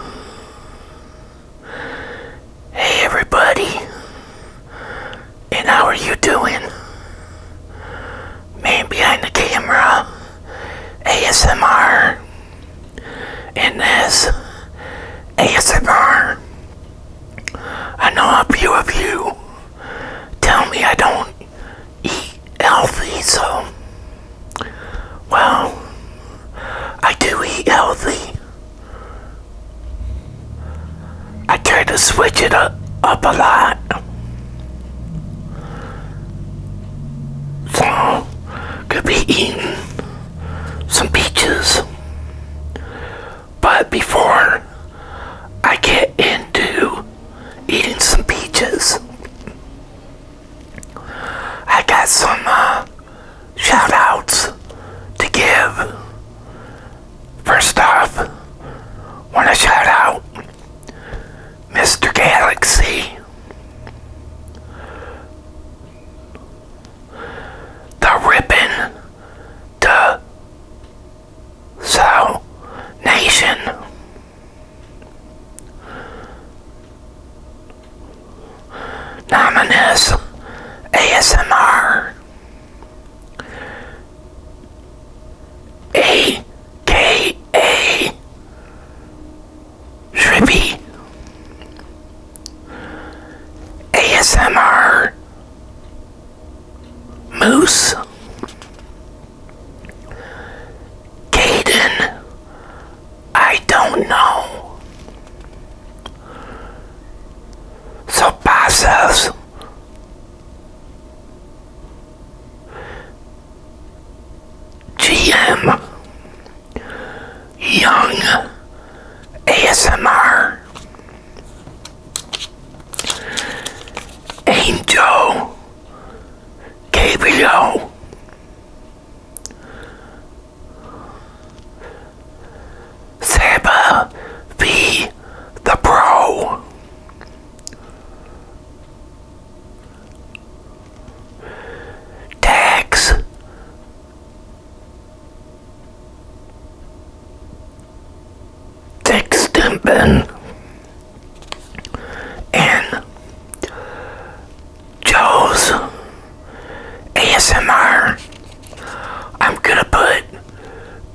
Hey everybody, and how are you doing? Man behind the camera, ASMR, and this ASMR. I know a few of you tell me I don't eat healthy, so well, I do eat healthy. I try to switch it up, up a lot. So, could be eating some peaches. But before I get into eating some peaches, I got some uh, shoutouts to give. First off, want to shout out Mr. Galaxy, the Ribbon to So Nation, Nominous ASMR AKA Trippy ASMR Moose Caden I don't know. So GM Young ASMR Angel Gabriel Seba be the Pro. Tax Tex Stimpin and Jose ASMR. I'm gonna put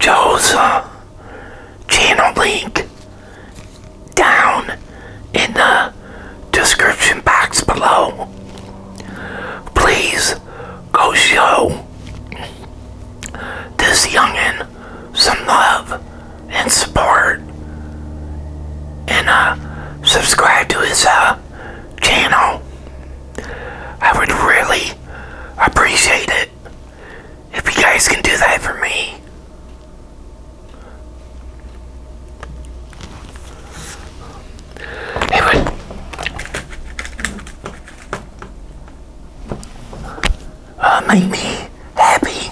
Jose uh, channel link down in the description box below. Please go show this youngin some love and support and uh, subscribe to his uh, channel. I would really appreciate it if you guys can do that for me. It would uh, make me happy.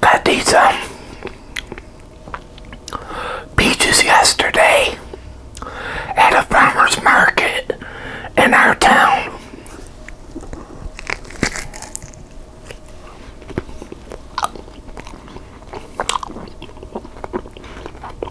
Got these um, peaches yesterday at a farmer's market in our town.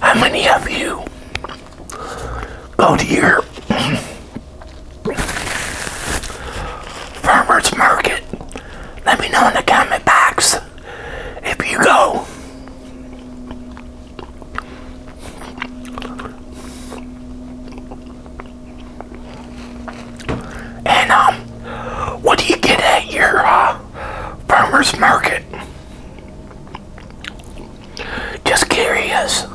How many of you go to your farmer's market? Let me know in the comment box if you go. And um, what do you get at your uh, farmer's market. Just curious.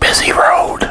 Busy road.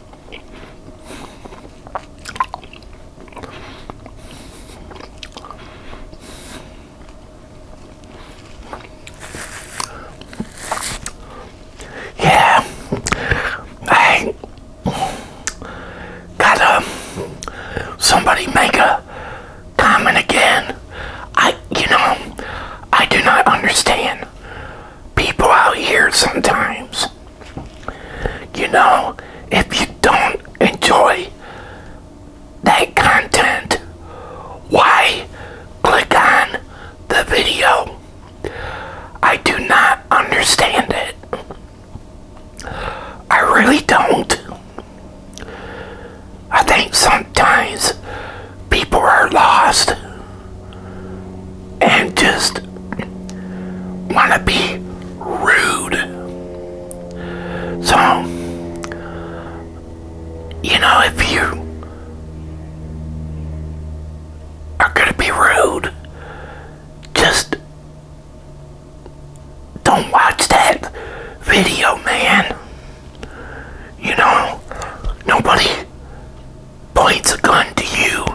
Yeah, I got um somebody make a comment again. I you know I do not understand people out here sometimes. You know, if you don't enjoy that content, why click on the video? I do not understand it. I really don't. I think sometimes people are lost and just want to be rude. So, you know, if you are going to be rude, just don't watch that video, man. You know, nobody points a gun to you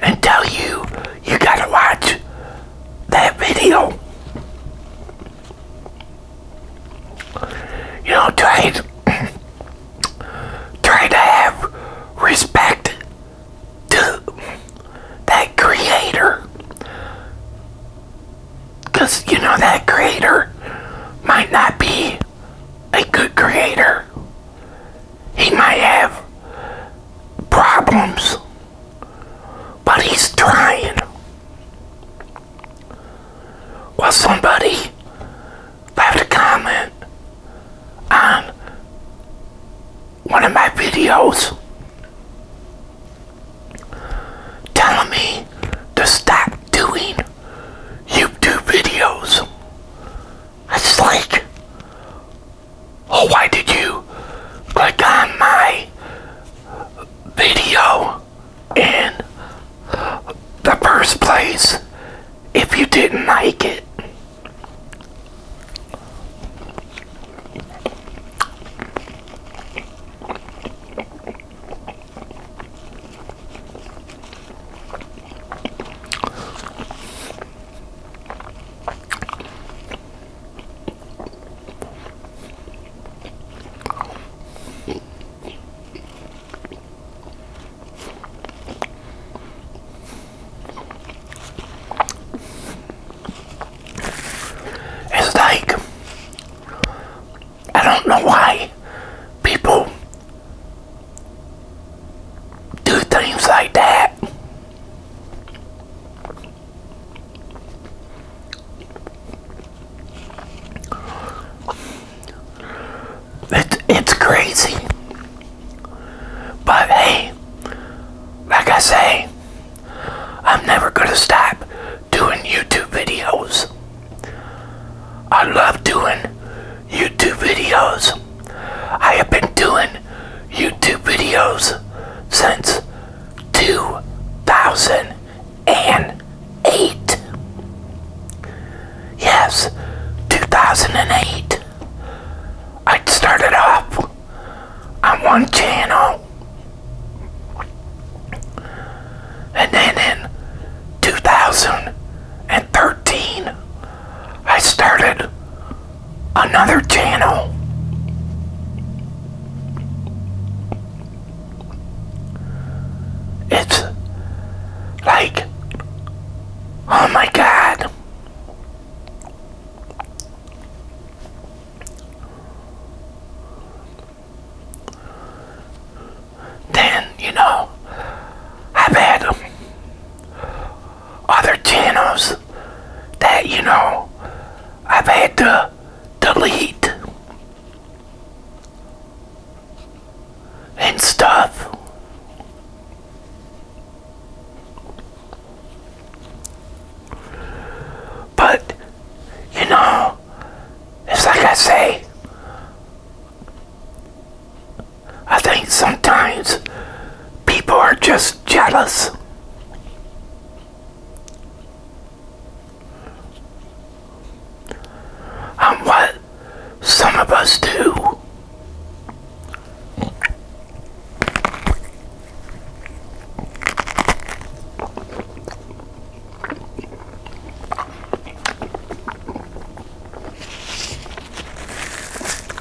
and tell you you gotta watch that video. You know, try try to have respect to that creator. Because, you know, that creator might not be a good creator. He might have problems, but he's trying. Well, somebody left a comment on one of my videos telling me to stop doing YouTube videos it's like, oh, why did you click on my video in the first place if you didn't like it? It's like I don't know why people do things like that. It's, it's crazy. But hey, like I say, I'm never going to stop doing YouTube videos. I love doing YouTube videos. I have been doing YouTube videos since 2008. Yes, 2008. I started off on one channel. And then in 2013, I started another channel. It's like, oh my god. Then, you know, I've other channels that, you know, I've had to delete and stuff. But, you know, it's like I say, I think sometimes people are just jealous. On what some of us do.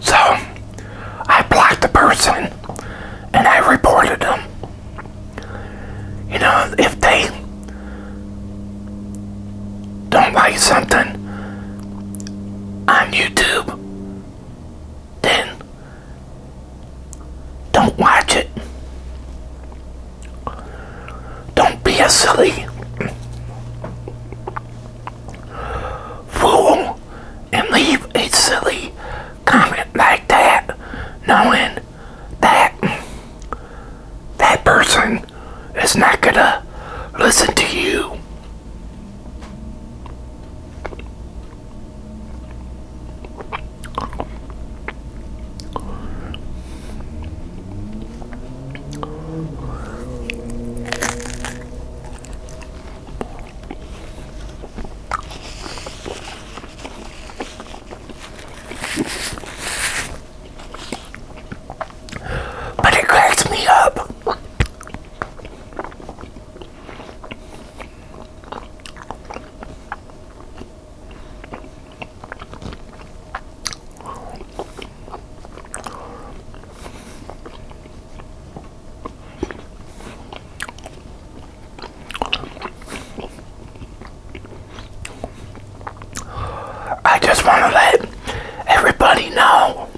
So I blocked the person and I reported them. You know, if they don't like something on YouTube, then don't watch it. Don't be a silly fool and leave a silly comment like that, knowing that that person is not gonna listen to you. But it cracks me up. I just want to let everybody know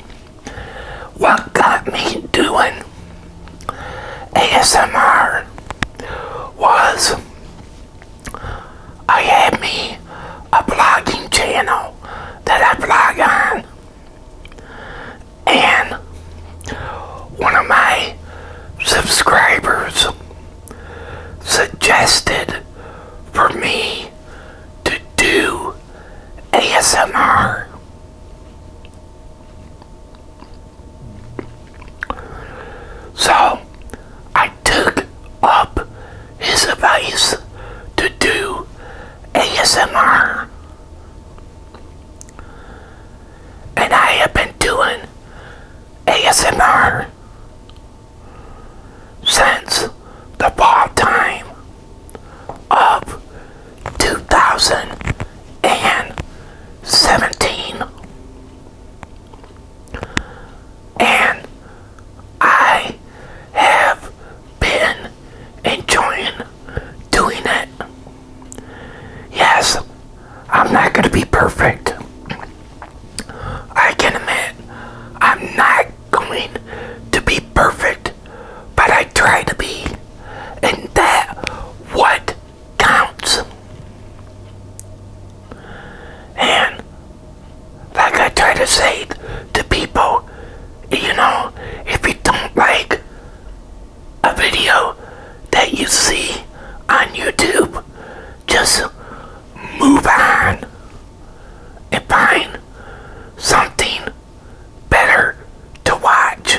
what got me doing ASMR was I had me a blogging channel that I blog on and one of my subscribers suggested for me to do ASMR. So I took up his advice to do ASMR. And I have been doing ASMR since the fall time of 2017. And I have been enjoying doing it. Yes, I'm not going to be perfect. I can admit I'm not going to be perfect, but I try to be and that what counts. And like I try to say to people, you know, if you don't like a video that you see on YouTube, just move on and find something better to watch.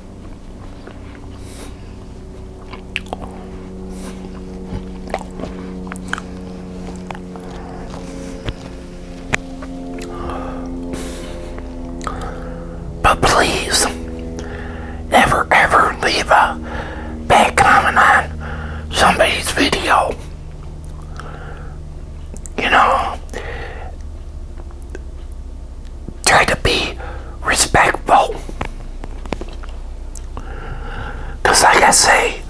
But please, never ever leave a bad comment on somebody's video. You know, try to be respectful. Because, like I say,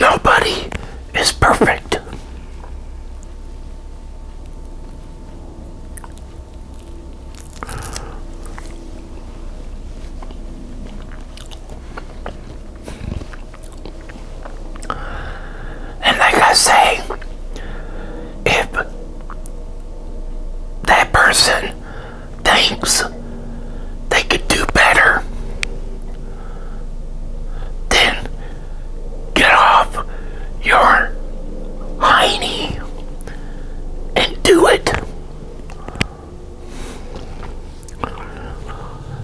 nobody is perfect. And like I say, if that person thinks they could do better, then get off your heiny and do it.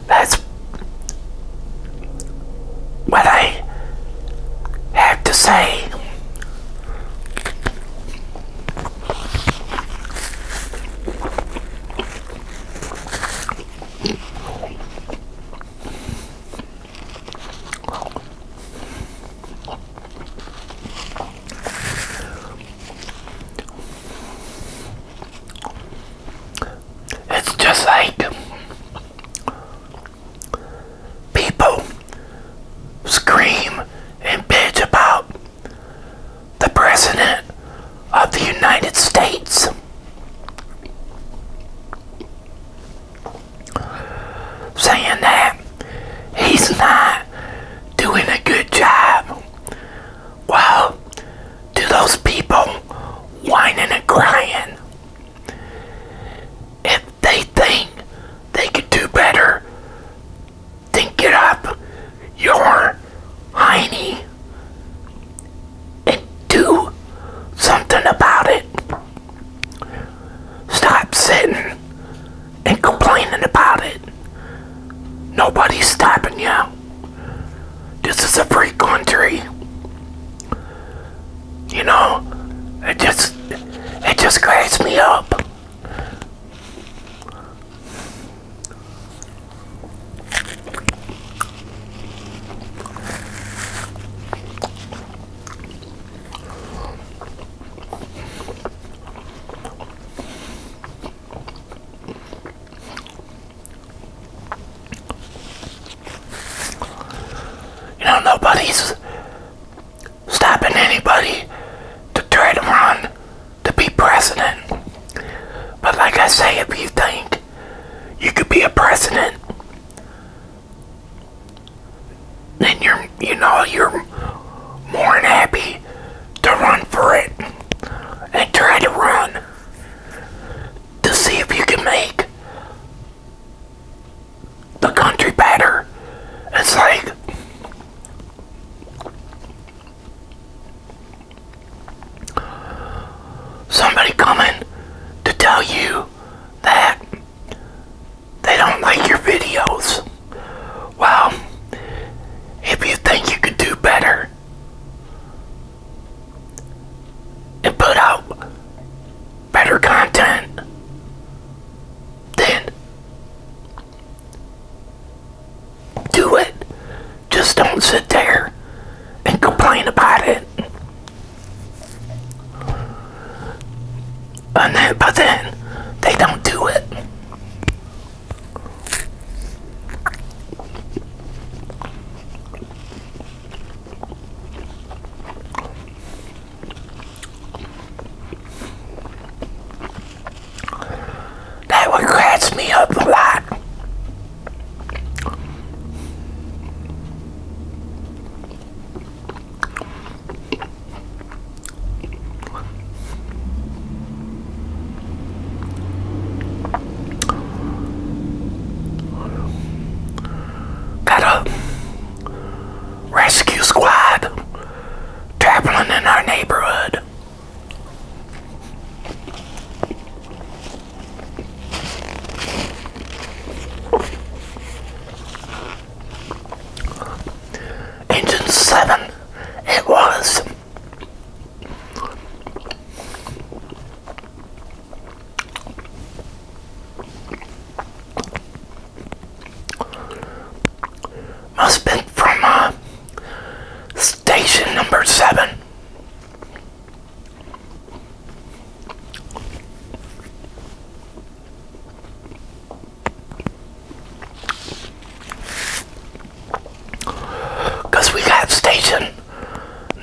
That's what I have to say. It's just like people scream and bitch about the President of the United States. Saying that he's not doing a good job. Well, to those people whining and crying, if they think they could do better, then get up your hiney and do something about it. Stop sitting and complaining about it. Nobody's stopping you. This is a free country. You know, it just it just cracks me up. You know, nobody's stopping anybody to try to run to be president. But like I say, if you think you could be a president, then you're, you know, you're more than happy to run for it and try to run to see if you can make the country better. It's like somebody coming to tell you that they don't like your videos. Well, if you think you could do better and put out better content then do it just don't sit there and complain about it and then, but then they don't do it that would catch me up a lot got a rescue squad traveling in our neighborhood. Engine 7, it was. Must have from uh, station number seven. Because we got station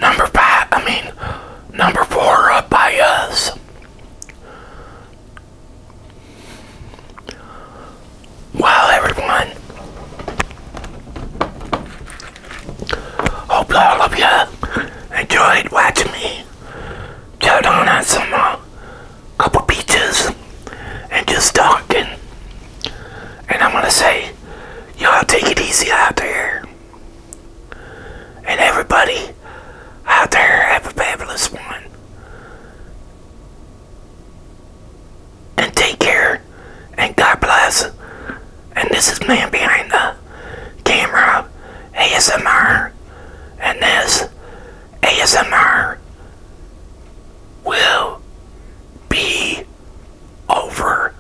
number five, I mean, number four up by us. Wow, everyone. Hope all of you enjoyed watching me chow down some uh, couple peaches and just talking. And I'm going to say, y'all take it easy out there. And everybody out there, have a fabulous one. And take care, and God bless. And this is Man Behind the Camera ASMR, and this ASMR will be over.